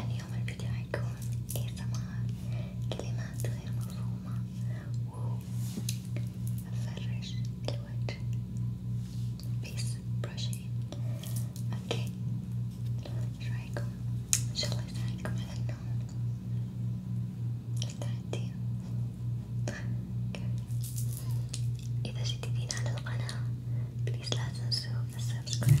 اليوم الفيديو حيكون ASMR كلمات غير مفهومة وفرش الوجه base brushing. Okay. Should I go? Shall I say come on? No. التعدين إذا جديدين على القناة بليز لا تنسوا السبسكرايب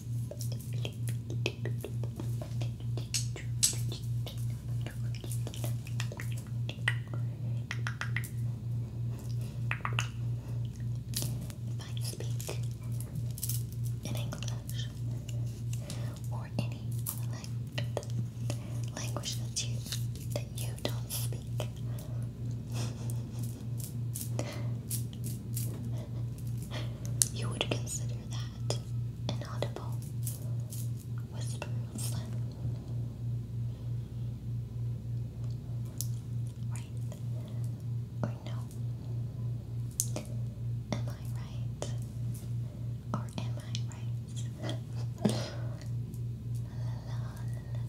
I speak in English or any other language that you that you don't speak. You would consider that an audible whisper Right or no? Am I right? Or am I right?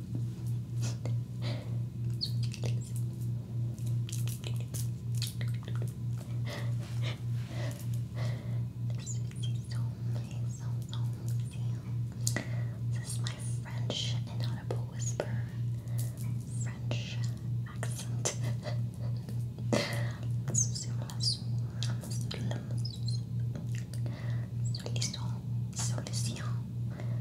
This is so so so This is my French inaudible whisper. French accent. Solution, solution,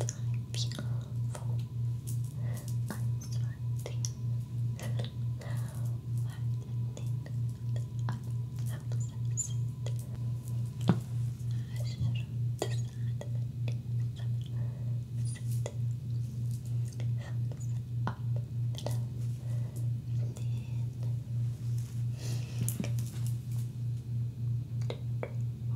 time beautiful I'm sweating Why did I obsessed I should decide that Thumbs up middle thin Two, three, four,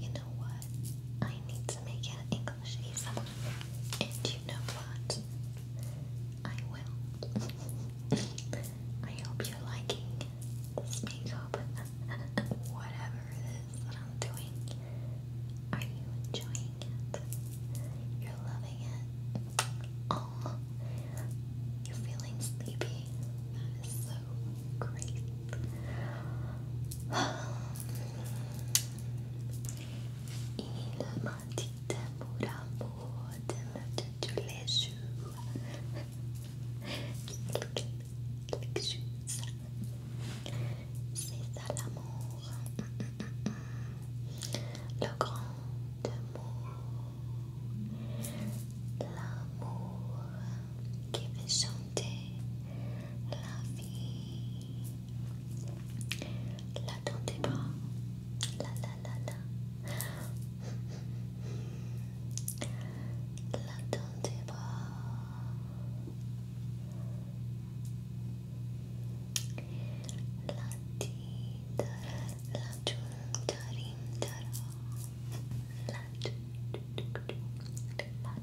You know what? I need to make an English ASMR. And you know what? I will. I hope you're liking this makeup, whatever it is that I'm doing. Are you enjoying it? You're loving it. Oh, you're feeling sleepy. That is so great. Il m'a dit amour, amour, de tous les jours. C'est ça l'amour. Le grand amour. L'amour. Give us something La vie L'attendez pas La la la la L'attendez pas La tidara La tum tarim La tum La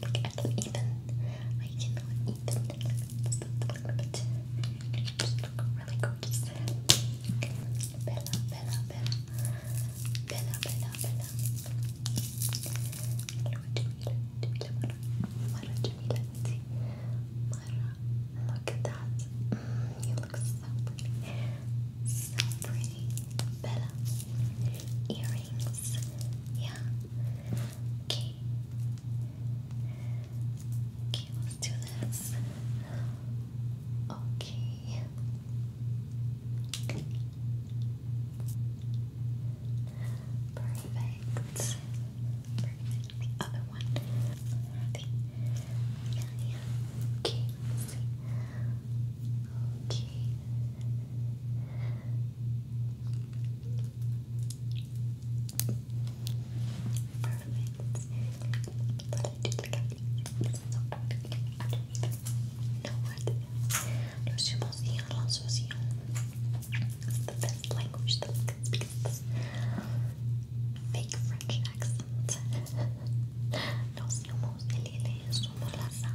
Look, I can even. I can even. But look really gorgeous. Bella, Bella, Bella. Bella, Bella, Bella. Jamila, Jamila, Mara, look at that. Mm, you look so pretty. So pretty. Bella. Earrings. Yeah. Okay. Okay, let's do this. Okay. Perfect. Perfect. other one. Okay. Okay. Los emoción, la asociación. It's the best language that we speak. Fake French accent. Los somos el somos la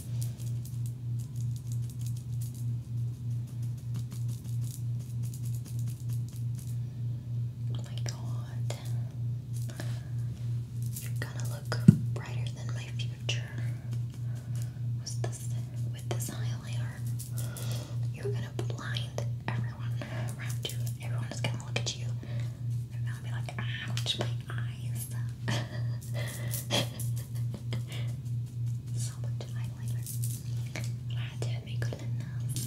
Oh my god. You're gonna look brighter than my future. What's this? With this highlighter, you're gonna blind everyone around you. Everyone is gonna look at you and be like, ouch, my eyes. so much highlighter. بعدين بيقول للناس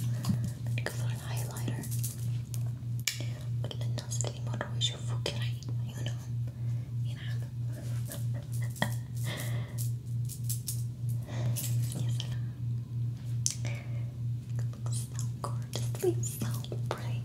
بنقفل الهايلايتر كل الناس اللي مروا يشوفوك عيونهم ينعم يا سلام looks so gorgeous, it's so bright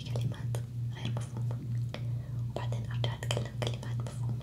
أسوي كلمات غير مفهومة وبعدين أرجع أتكلم كلمات مفهومة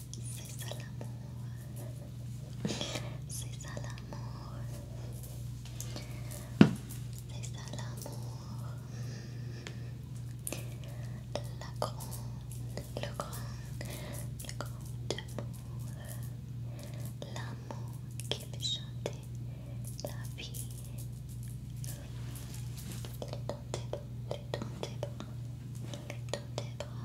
c'est ça l'amour. C'est ça l'amour. C'est ça l'amour. La grande, le grand, le grand amour. L'amour qui fait chanter la vie. Les dans des bras, les dans tes bras, les dans des bras.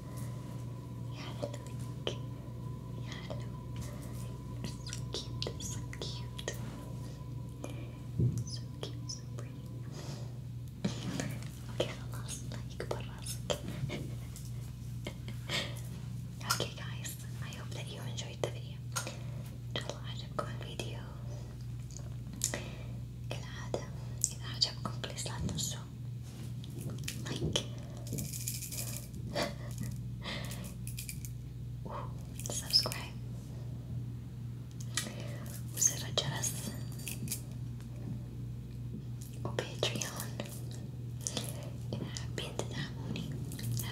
Yeah, look. so cute. So cute. So cute. So pretty. okay, خلاص لايك براسك. okay guys, I hope that you enjoyed the video. إن شاء الله عجبكم الفيديو. كالعادة إذا عجبكم بليز لا تنسوا like subscribe você vai tirar as... o Patreon إذا حابين تدعموني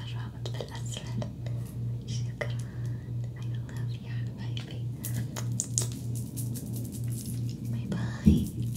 الرابط بالأسفل شكرا I love you حبايبي باي باي